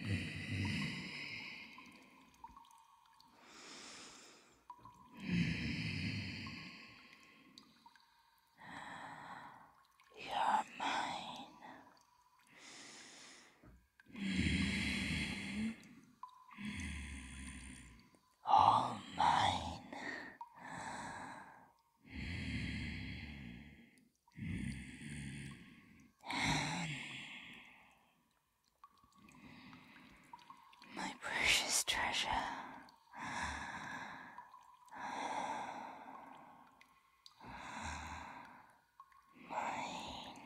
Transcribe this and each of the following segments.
You're mine all mine. My precious treasure. Mine.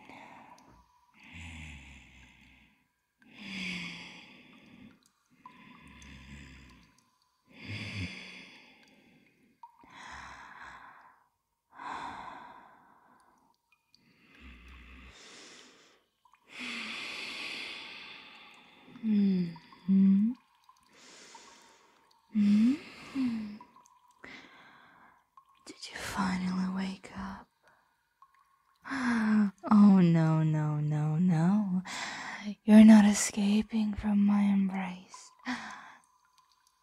Did you finally wake up? Oh, no, no, no, no. You're not escaping from my embrace.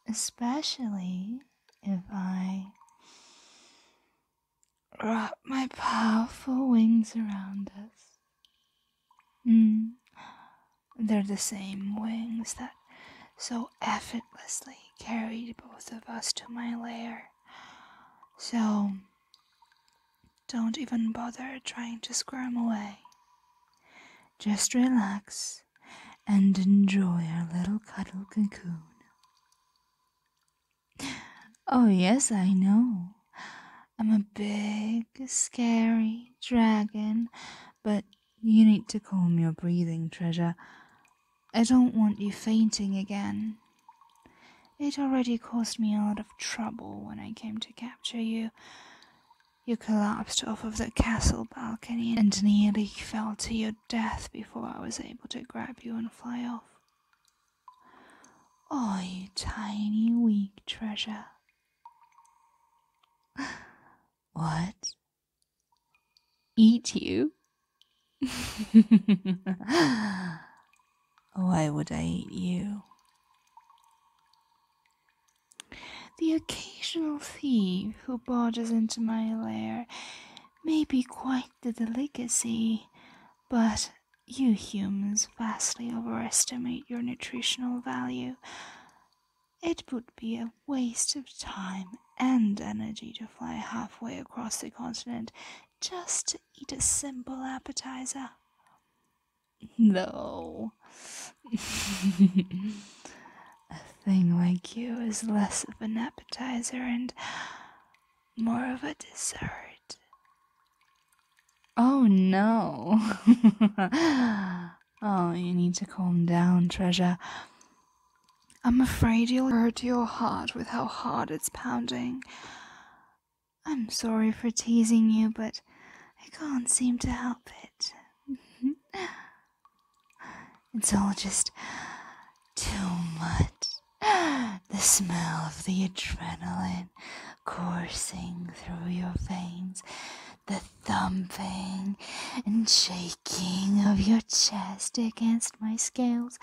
Especially if I wrap my powerful wings around us. Mm. They're the same wings that so effortlessly carried both of us to my lair. So don't even bother trying to squirm away. Just relax and enjoy our little cuddle cocoon. Oh, yes, I know. I'm a big, scary dragon, but you need to calm your breathing, treasure. I don't want you fainting again. It already caused me a lot of trouble when I came to capture you. You collapsed off of the castle balcony and nearly fell to your death before I was able to grab you and fly off. Oh, you tiny, weak treasure. What? Eat you? Why would I eat you? The occasional thief who barges into my lair may be quite the delicacy, but you humans vastly overestimate your nutritional value. It would be a waste of time and energy to fly halfway across the continent just to eat a simple appetizer. No. a thing like you is less of an appetizer and more of a dessert. Oh no. oh, you need to calm down, treasure. I'm afraid you'll hurt your heart with how hard it's pounding. I'm sorry for teasing you, but I can't seem to help it. it's all just too much. The smell of the adrenaline coursing through your veins, the thumping and shaking of your chest against my scales,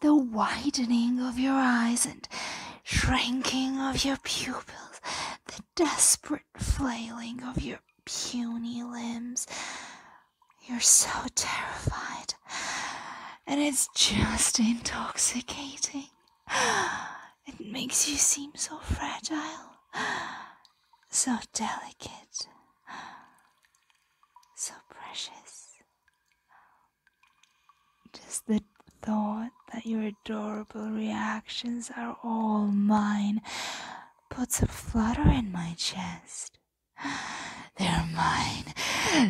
the widening of your eyes and shrinking of your pupils, the desperate flailing of your puny limbs. You're so terrified, and it's just intoxicating. It makes you seem so fragile, so delicate, so precious. Just the thought that your adorable reactions are all mine puts a flutter in my chest. They're mine,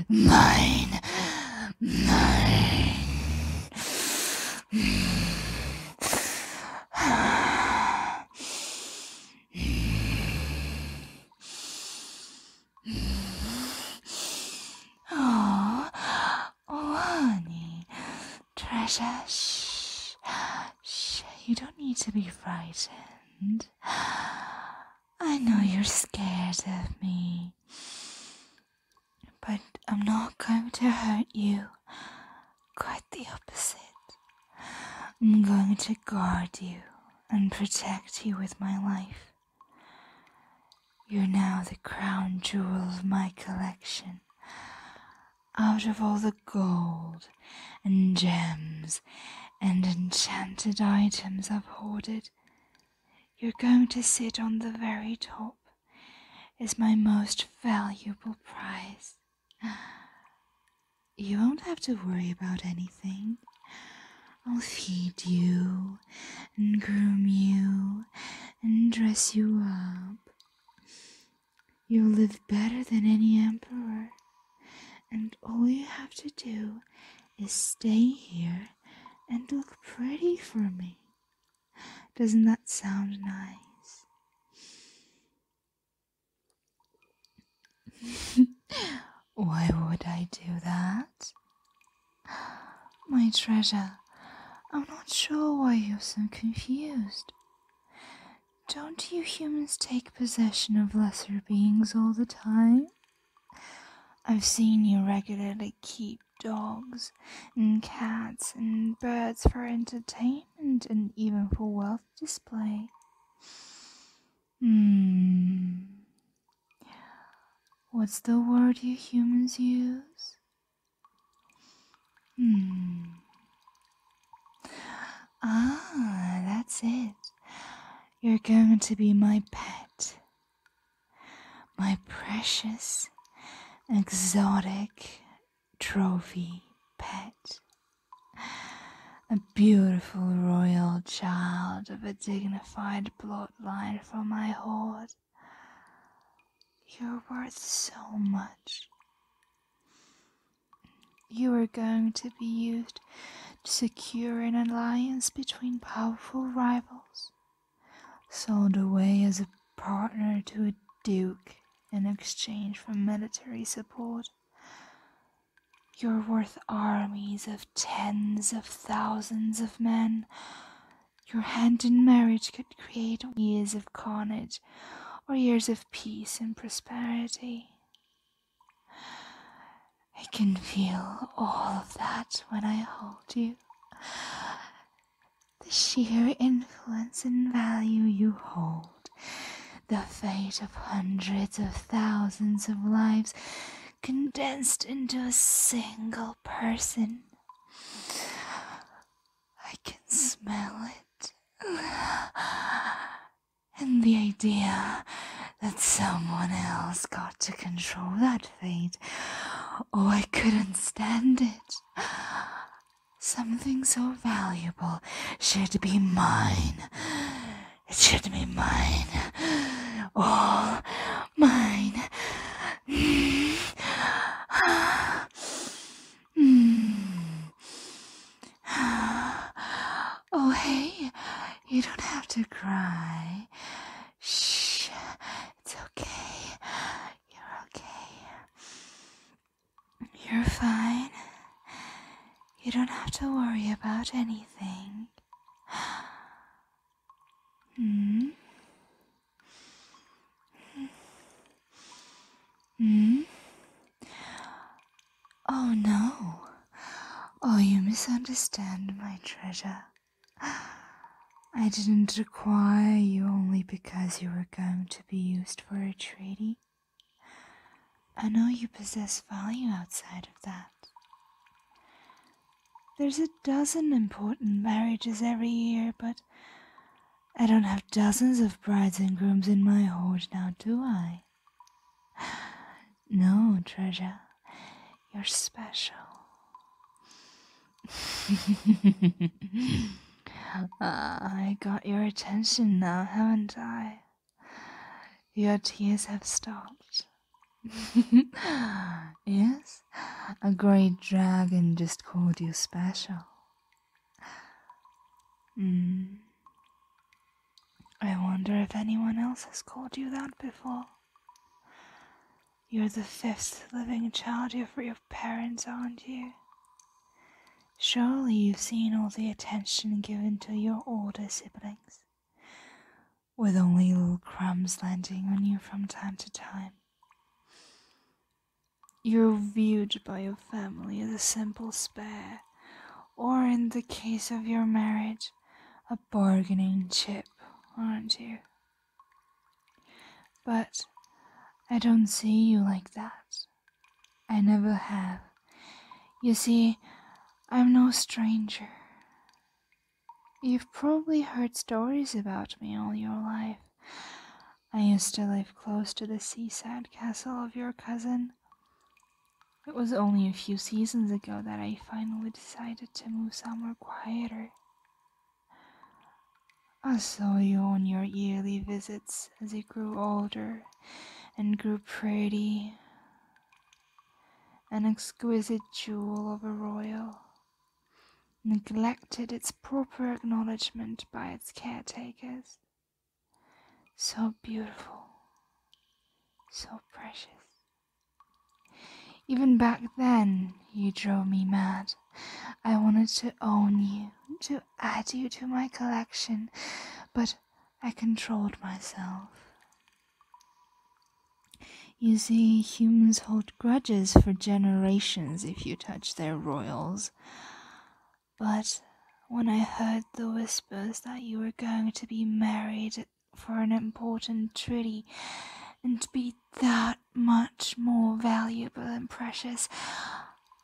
mine, mine. Oh, honey, treasure, shh, shh, you don't need to be frightened. I know you're scared of me, but I'm not going to hurt you. Quite the opposite. I'm going to guard you and protect you with my life. You're now the crown jewel of my collection. Out of all the gold and gems and enchanted items I've hoarded, you're going to sit on the very top as my most valuable prize. You won't have to worry about anything. I'll feed you and groom you and dress you up. You'll live better than any emperor, and all you have to do is stay here and look pretty for me. Doesn't that sound nice? Why would I do that? My treasure, I'm not sure why you're so confused. Don't you humans take possession of lesser beings all the time? I've seen you regularly keep dogs and cats and birds for entertainment and even for wealth display. Hmm. What's the word you humans use? Hmm. Ah, that's it. You're going to be my pet. My precious, exotic trophy pet beautiful royal child of a dignified bloodline from my horde. You're worth so much. You are going to be used to secure an alliance between powerful rivals, sold away as a partner to a duke in exchange for military support. You're worth armies of tens of thousands of men. Your hand in marriage could create years of carnage or years of peace and prosperity. I can feel all of that when I hold you. The sheer influence and value you hold, the fate of hundreds of thousands of lives condensed into a single person. I can smell it. And the idea that someone else got to control that fate. Oh, I couldn't stand it. Something so valuable should be mine. It should be mine. All oh, mine. oh, hey, you don't have to cry. Shh, it's okay. You're okay. You're fine. You don't have to worry about anything. Mm. Mm. Oh no. Oh, you misunderstand, my treasure. I didn't acquire you only because you were going to be used for a treaty. I know you possess value outside of that. There's a dozen important marriages every year, but I don't have dozens of brides and grooms in my hoard now, do I? No, treasure. You're special. I got your attention now, haven't I? Your tears have stopped. yes, a great dragon just called you special. Mm. I wonder if anyone else has called you that before. You're the fifth living child of your parents, aren't you? Surely you've seen all the attention given to your older siblings with only little crumbs landing on you from time to time. You're viewed by your family as a simple spare, or in the case of your marriage, a bargaining chip, aren't you? But I don't see you like that. I never have. You see, I'm no stranger. You've probably heard stories about me all your life. I used to live close to the seaside castle of your cousin. It was only a few seasons ago that I finally decided to move somewhere quieter. I saw you on your yearly visits as you grew older and grew pretty an exquisite jewel of a royal, neglected its proper acknowledgement by its caretakers. So beautiful, so precious. Even back then, you drove me mad. I wanted to own you, to add you to my collection, but I controlled myself. You see, humans hold grudges for generations if you touch their royals. But when I heard the whispers that you were going to be married for an important treaty and be that much more valuable and precious,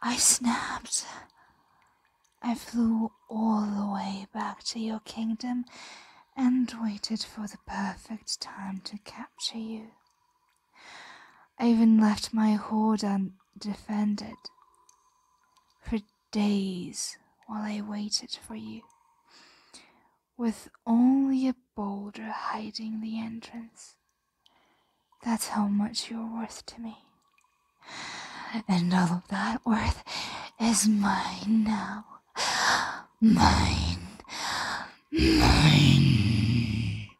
I snapped. I flew all the way back to your kingdom and waited for the perfect time to capture you. I even left my hoard undefended for days while I waited for you, with only a boulder hiding the entrance. That's how much you're worth to me. And all of that worth is mine now. Mine, mine.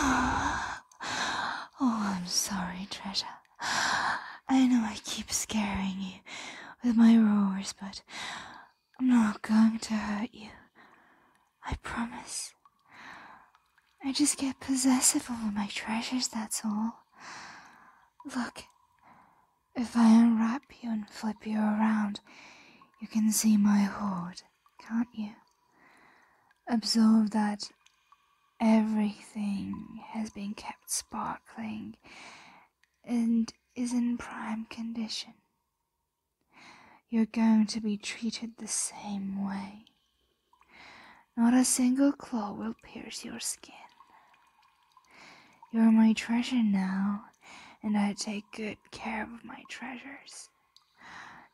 Oh, I'm sorry, Treasure. I know I keep scaring you with my roars, but I'm not going to hurt you. I promise. I just get possessive over my treasures, that's all. Look, if I unwrap you and flip you around, you can see my hoard, can't you? Observe that everything has been kept sparkling and is in prime condition. You're going to be treated the same way. Not a single claw will pierce your skin. You're my treasure now, and I take good care of my treasures.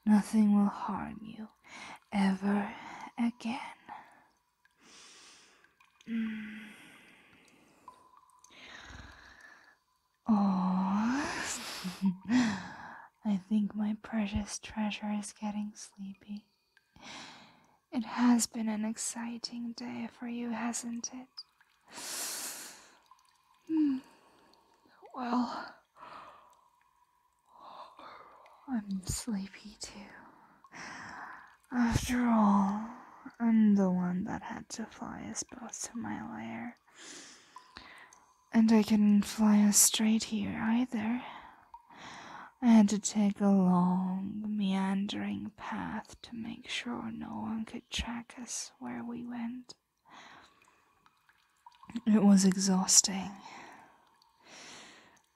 Nothing will harm you ever again. Oh. I think my precious treasure is getting sleepy. It has been an exciting day for you, hasn't it? Hmm. Well, I'm sleepy too. After all, I'm the one that had to fly us both to my lair. And I couldn't fly us straight here either. I had to take a long, meandering path to make sure no one could track us where we went. It was exhausting,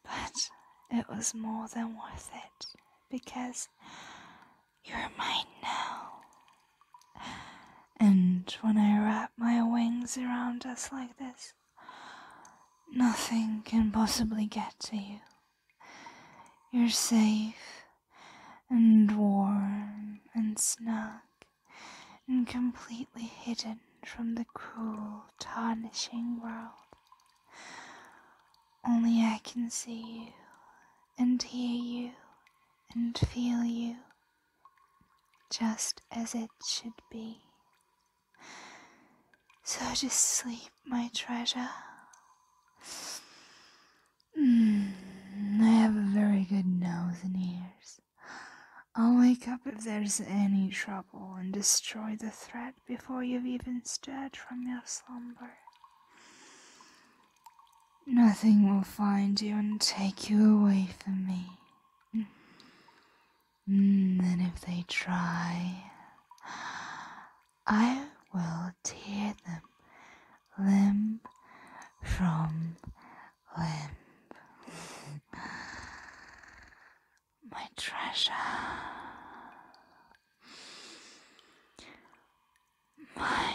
but it was more than worth it because you're mine now. And when I wrap my wings around us like this, Nothing can possibly get to you. You're safe and warm and snug and completely hidden from the cruel, tarnishing world. Only I can see you and hear you and feel you just as it should be. So just sleep, my treasure. Mm, I have a very good nose and ears. I'll wake up if there's any trouble and destroy the threat before you've even stirred from your slumber. Nothing will find you and take you away from me. And if they try, I will tear them limb from limb. My treasure. Mine.